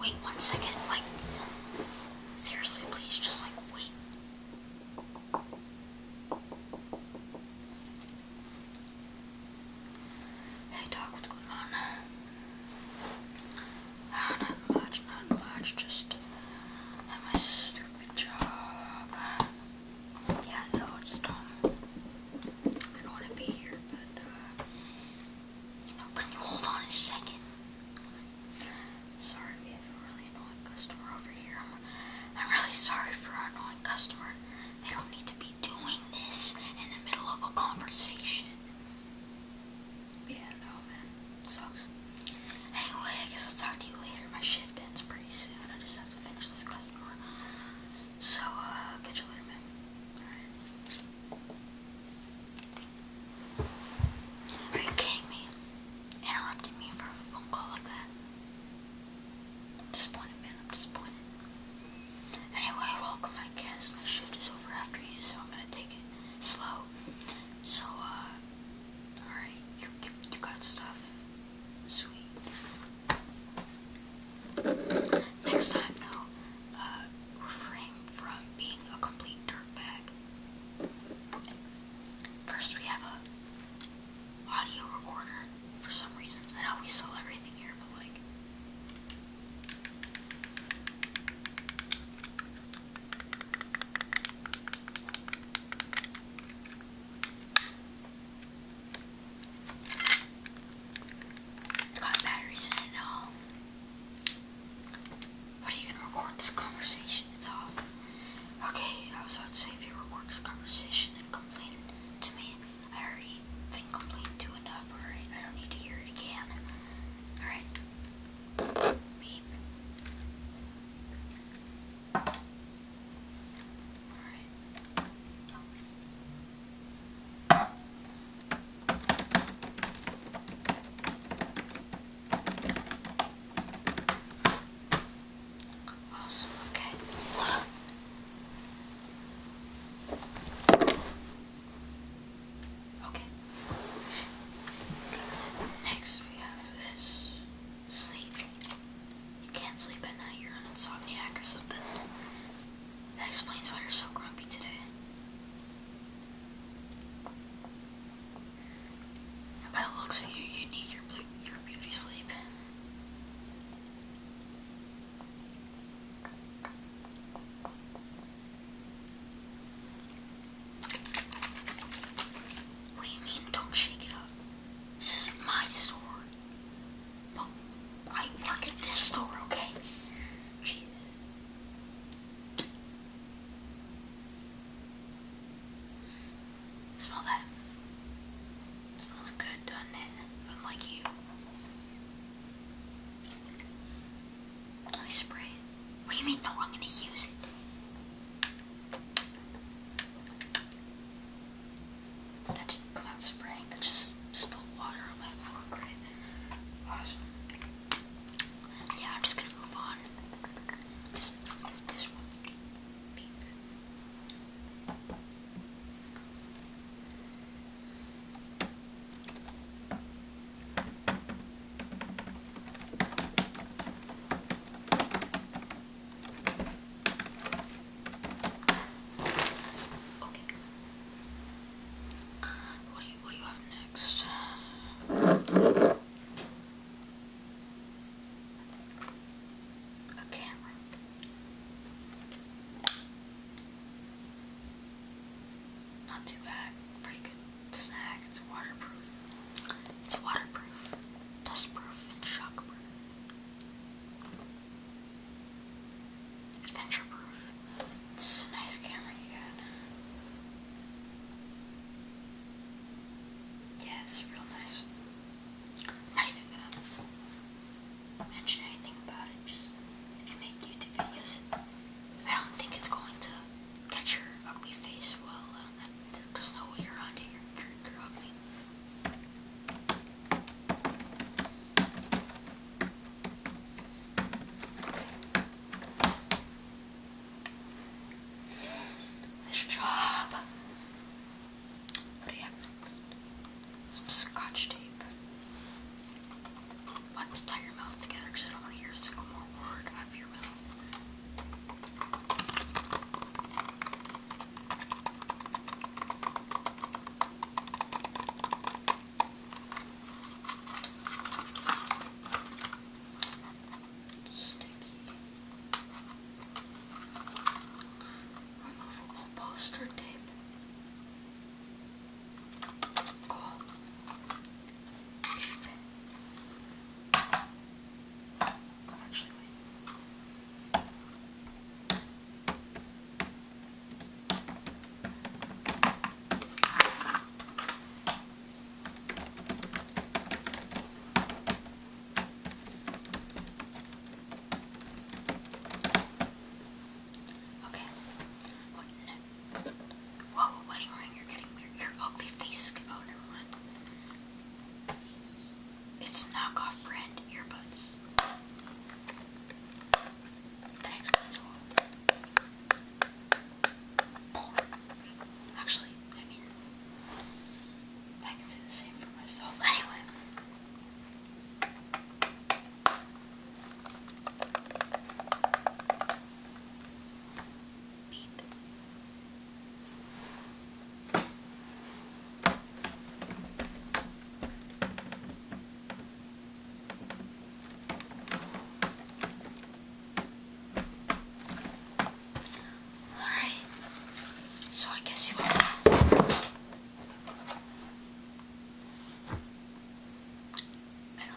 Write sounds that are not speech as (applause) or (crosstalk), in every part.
wait one second? Like seriously please just like wait. Hey dog, what's going on? not much, not much, just at my sister Good job. Yeah, no, it's dumb. I don't want to be here, but, uh, you hold on a second? Sorry, we have a really annoying customer over here. I'm, I'm really sorry for our annoying customer. They don't need to be doing this in the middle of a conversation. Yeah, no, man. Sucks. Anyway, I guess I'll talk to you later. My shift ends pretty soon. I just have to finish this customer. So, uh, catch you later, man. Alright. Are you kidding me? Interrupting me for a phone call like that? I'm disappointed, man. I'm disappointed. Anyway, welcome, I guess. My shift is over after you, so I'm gonna take it slow. So, uh, Alright, you, you, got stuff. Sweet. Next time, though, uh, from being a complete dirtbag. First, we have a audio recorder for some reason. I know we sell everything here, but like. It's got batteries in it all. What are you gonna record this conversation? It's off. Okay, I was about to say if you record this conversation and complain to me, I already think complained to enough, alright? I don't need to hear it again. Alright. Beep. Alright. Awesome, okay. Hold Okay. Next we have this sleep. You can't sleep at night, you're an insomniac or something. That explains why you're so grumpy today. by looks of you, you need your beauty sleep. What do you mean, don't shake it up? This is my store. But I work at this store, okay? Jeez. Smell that. smells good, doesn't it? Unlike you. Let me spray it. What do you mean, no, I'm gonna use it? But that didn't come out spraying, that just spilled water on my floor, great. Awesome. Yeah, I'm just gonna move on. This, one. Okay. what, do you, what do you have next? A camera. Not too bad. Pretty good snack. It's waterproof. It's waterproof, dustproof, and shockproof. Adventure proof. It's a nice camera you got. Yeah, it's real nice. Might even gonna mention anything about it. Just if you make YouTube videos, I don't think it's going to catch your ugly face well. There's no way You're, you're, This job. What have? Some scotch tape. Let's tie your mouth together because I don't want to hear a single more word out of your mouth. Sticky. Removable poster tape. Cool i Okay. Whoa, wedding ring! You're getting your, ugly face. Oh, never it's knockoff brand earbuds. Thanks, that's Actually, I mean, I can say the same for myself. Anyway. Alright, so I guess you want I don't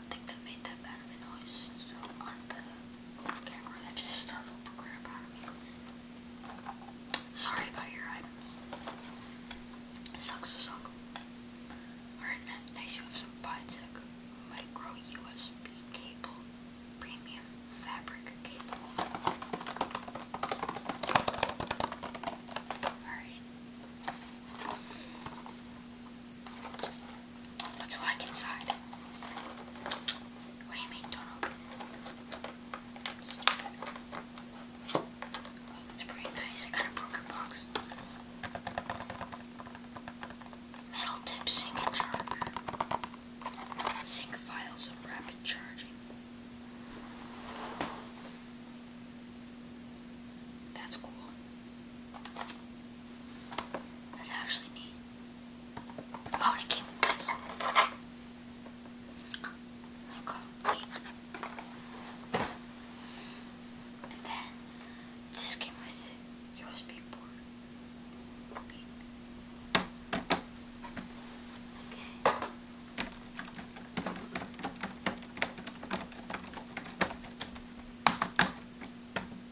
think they made that bad of a noise so on the camera Sorry about your items. sucks to suck. Alright, next you have some Biotech Micro USB Cable Premium Fabric Cable. Alright. Let's inside. What do you mean, Donald? Stupid. Oh, pretty nice. I got a broken box. Metal tip sync charger. Sync files and rapid charging. That's cool. That's actually neat. Ahora aquí. Complete. And then this came with a USB port. Okay.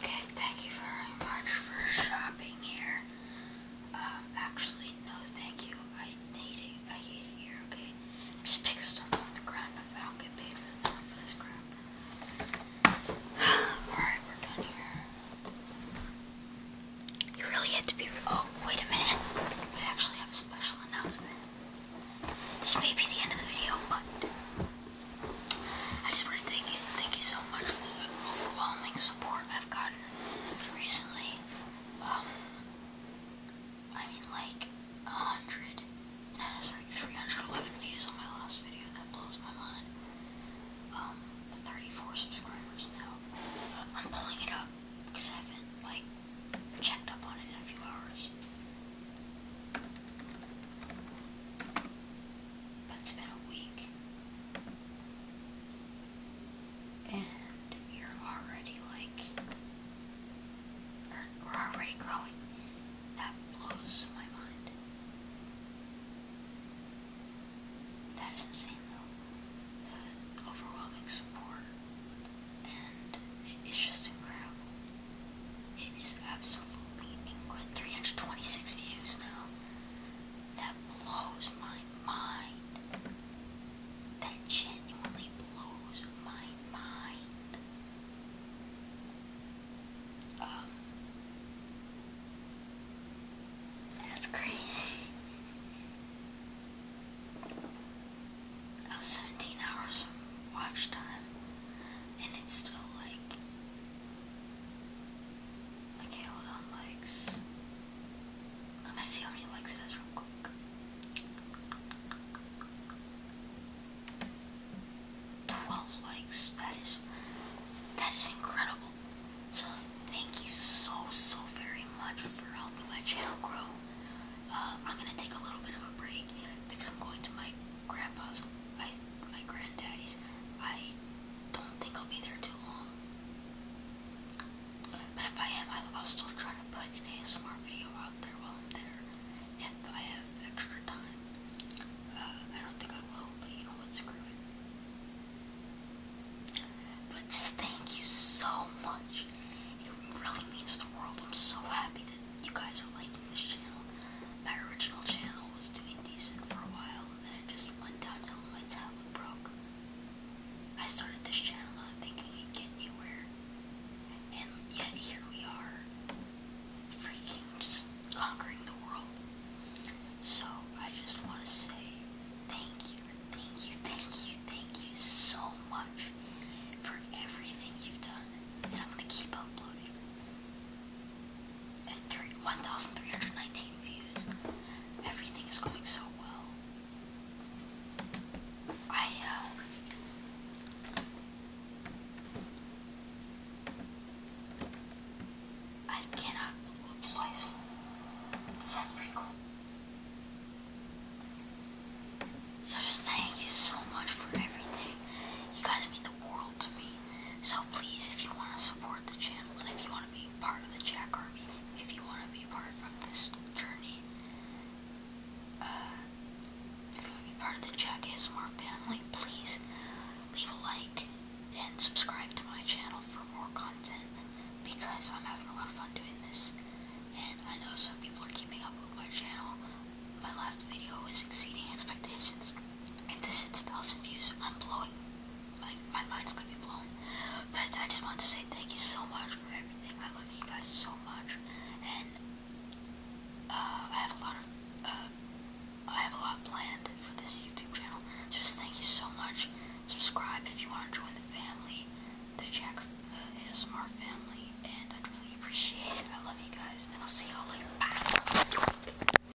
Okay, thank you very much for shopping here. Um, actually, no thank you. I need it. I hate it here, okay? Just pick your stuff off the ground up. I do get paid for this crap. (sighs) Alright, we're done here. You really had to be... Oh, wait a minute. I actually have a special announcement. This may be the end of the video, but... I just want to thank you, thank you so much for the overwhelming support I've gotten recently. Um, I mean, like a hundred, uh, sorry, 311 views on my last video. That blows my mind. Um, 34 subscribers now. Uh, I'm pulling it up because like checked up on it in a few hours. But it's been a week. And you're already like, we're already growing. That blows my mind. That is insane though. The overwhelming support. And it is just incredible. It is absolutely incredible. 326 views now that blows my mind. That genuinely blows my mind. Um, that's crazy. That was 17 hours watch time, and it's still like Okay, hold on, likes. I'm gonna see how many likes it has real quick. Twelve likes. That is that is incredible. So thank you so so very much for helping my channel grow. Uh, I'm gonna take a little bit of a break because I'm going to my grandpa's. I my granddaddy's. I don't think I'll be there too long. But if I am, I'll still try to put an ASMR video out there while I'm there. If I have extra time. Uh, I don't think I will, but you know what, screw But just thank you so much. It really means the world. I'm so happy that you guys are liking this channel. My original channel was doing decent for a while that it just went downhill and my tablet broke. I started this channel thinking it'd get anywhere. And yet here we are, freaking conquering the world. So I just want to say thank you, thank you, thank you, thank you so much for everything you've done. And I'm going to keep uploading. 1,319 views. Everything is going so well. I, uh, I cannot replace it. pretty cool. So just thank you so much for everything. You guys mean the world helpful to me. So please, if you want to support the channel and if you want to be part of the Jack Army, if you want to be part of this journey, uh, if you want to be part of the Jack ASMR family, please leave a like and subscribe to my channel for more content because I'm having a lot of fun doing this. And I know some people are keeping up with my channel. My last video is exceeding expectations. If this hits a thousand views, I'm blowing like my mind's gonna be blown. But I just want to say thank you so much for everything. I love you guys so much, and uh, I have a lot of uh, I have a lot planned for this YouTube channel. So just thank you so much. Subscribe if you want to join the family, the Jack uh, ASMR family, and I'd really appreciate it. I love you guys, and I'll see y'all later. Bye.